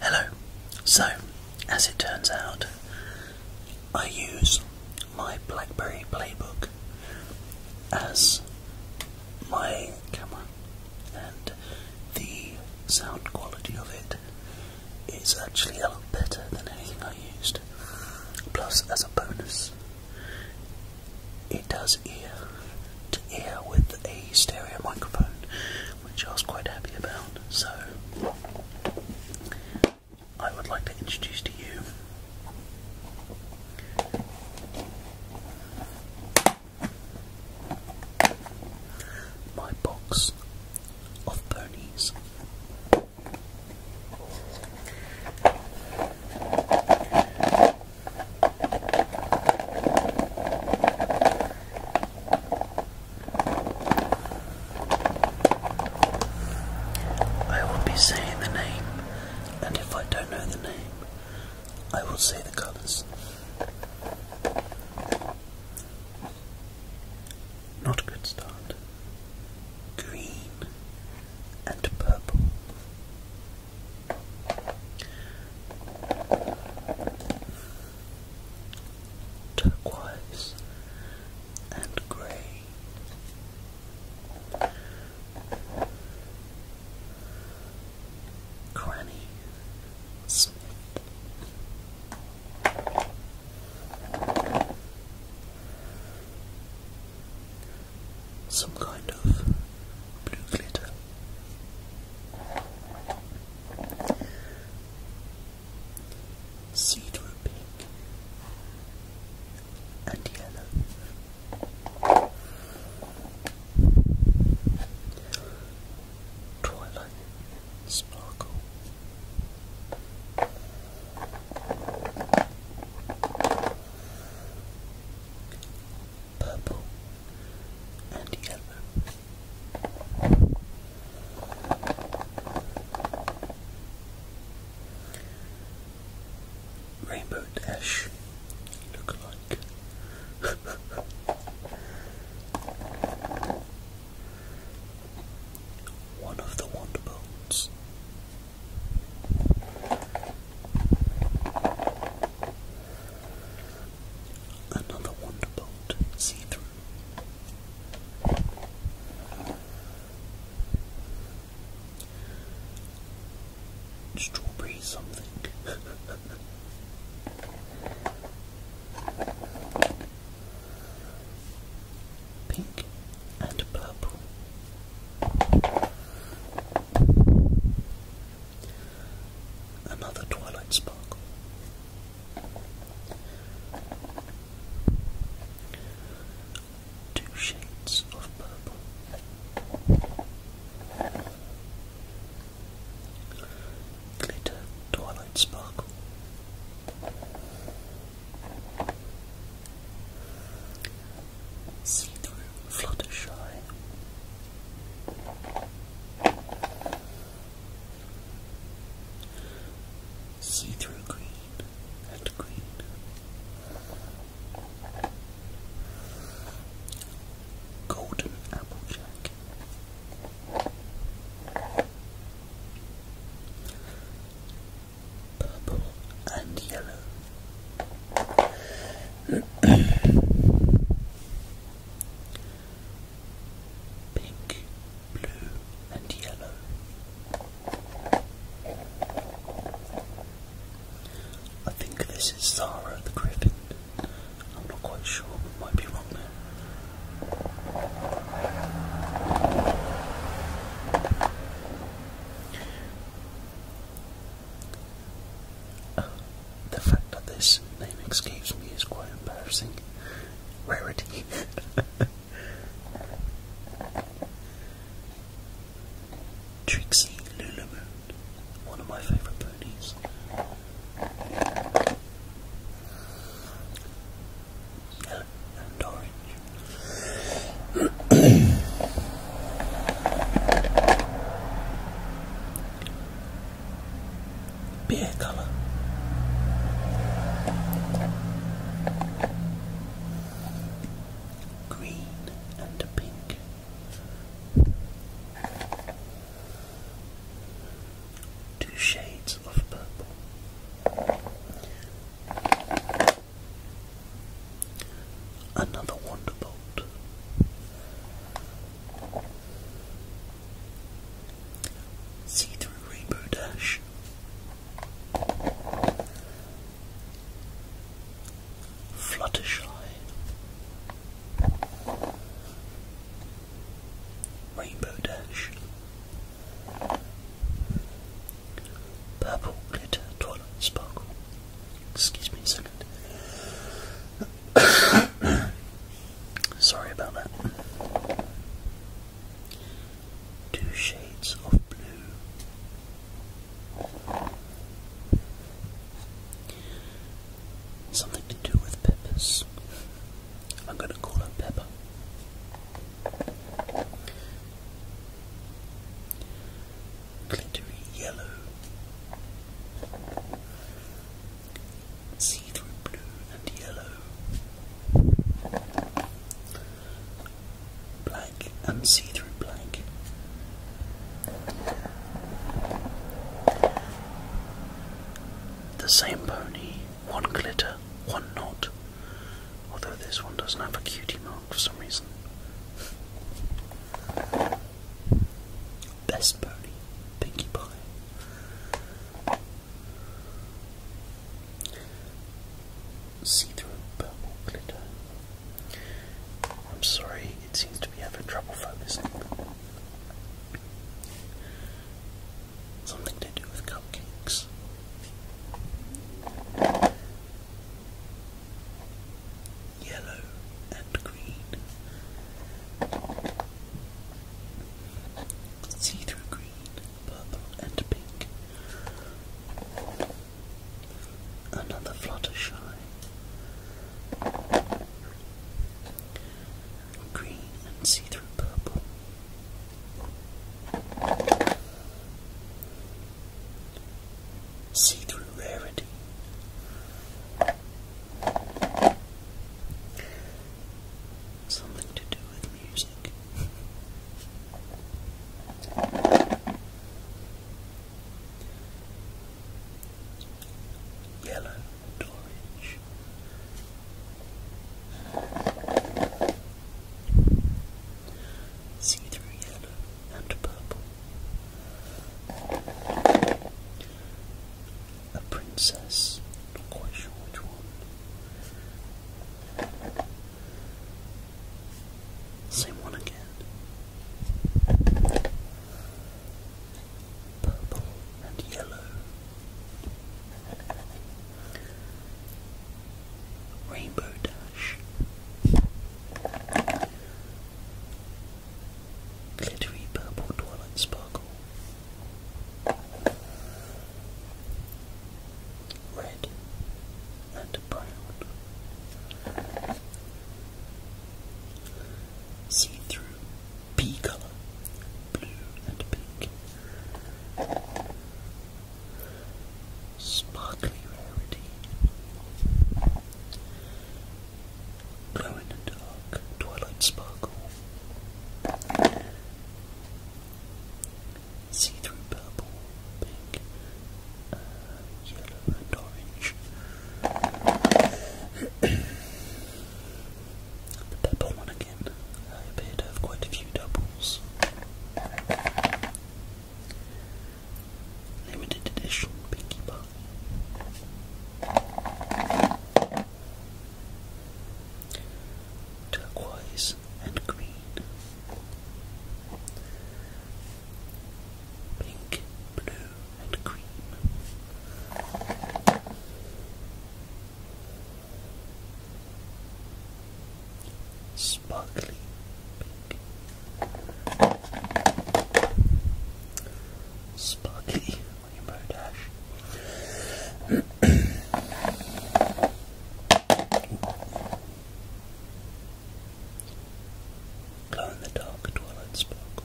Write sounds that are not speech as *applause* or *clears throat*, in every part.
Hello. So, as it turns out, I use my BlackBerry Playbook as my camera, and the sound quality of it is actually a lot better than anything I used. Plus, as a bonus, it does ear to ear with a stereo microphone, which I was quite happy about. So, I would like to introduce to you my box of ponies. I will be saying the name, and if I don't know the name, I will say the colours. Not a good start. Green and purple. Turquoise and grey. Granny Smith some kind of blue glitter. Cedar pink and yellow. Twilight sparkle purple and yellow. Rainbow Dash look like *laughs* one of the Wonder Another Wonderbolt see through. Strawberry something. *laughs* pink and purple. Another twilight sparkle. Two shades of purple. Glitter twilight sparkle. See-through Fluttershy. See-through green and green. Golden Applejack purple and yellow, *coughs* pink, blue, and yellow. I think this is Zara the Griffin. I'm not quite sure, might be wrong there. Uh, the fact that this name escapes me is quite embarrassing. Rarity. *laughs* Trixie Lulamoon, one of my favourite ponies orange. *coughs* Beer colour. Green and pink. Two shades of purple. Another Wonderbolt. See through Rainbow Dash. Fluttershy. Rainbow Dash. Purple glitter, twilight sparkle. Excuse me a second. *coughs* Sorry about that. Two shades of blue. Something to do with peppers. I'm going to call her Pepper glittery yellow, see through blue and yellow, black and see through black. The same pony, one glitter, one knot, Although this one doesn't have a cutie mark for some reason. Best pony, Pinkie Pie. See through purple glitter. I'm sorry, it seems to be having trouble focusing. Something to do with cupcakes yellow and green, see through green, purple, and pink. Another Fluttershy. Green and see through purple. See through rarity. Something to do with music. Yellow orange see through yellow and purple. A princess, not quite sure which one. Same one again. Purple and yellow. Rainbow Dash, Glittery Purple Twilight Sparkle, Red and Brown, See Through Pea Colour, Blue and Pink. Sparkly Rarity. Glow in the Dark Twilight Sparkle. See through purple, pink, uh, yellow, and orange. the purple one again. I appear to have quite a few doubles. Limited edition pinky Pie. Turquoise and green. Pink, blue, and cream. Sparkly Sparkly on your Glow in the dark twilight sparkle.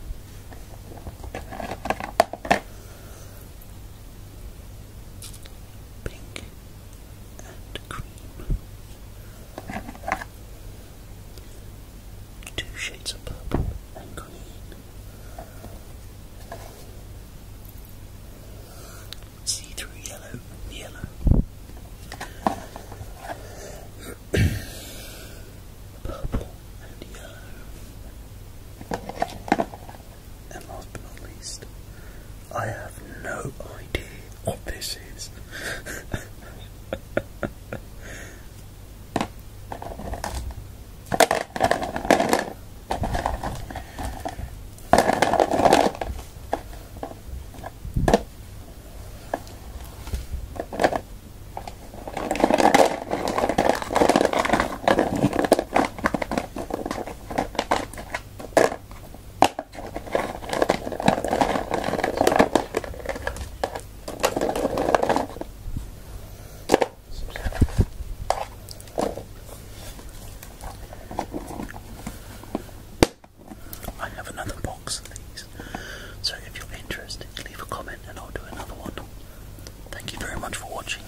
Pink and cream. Two shades of purple and green. See through yellow, yellow. *clears throat* Purple and yellow. And last but not least, I have no idea what this is. *laughs* I have another box of these, so if you're interested, leave a comment and I'll do another one. Thank you very much for watching.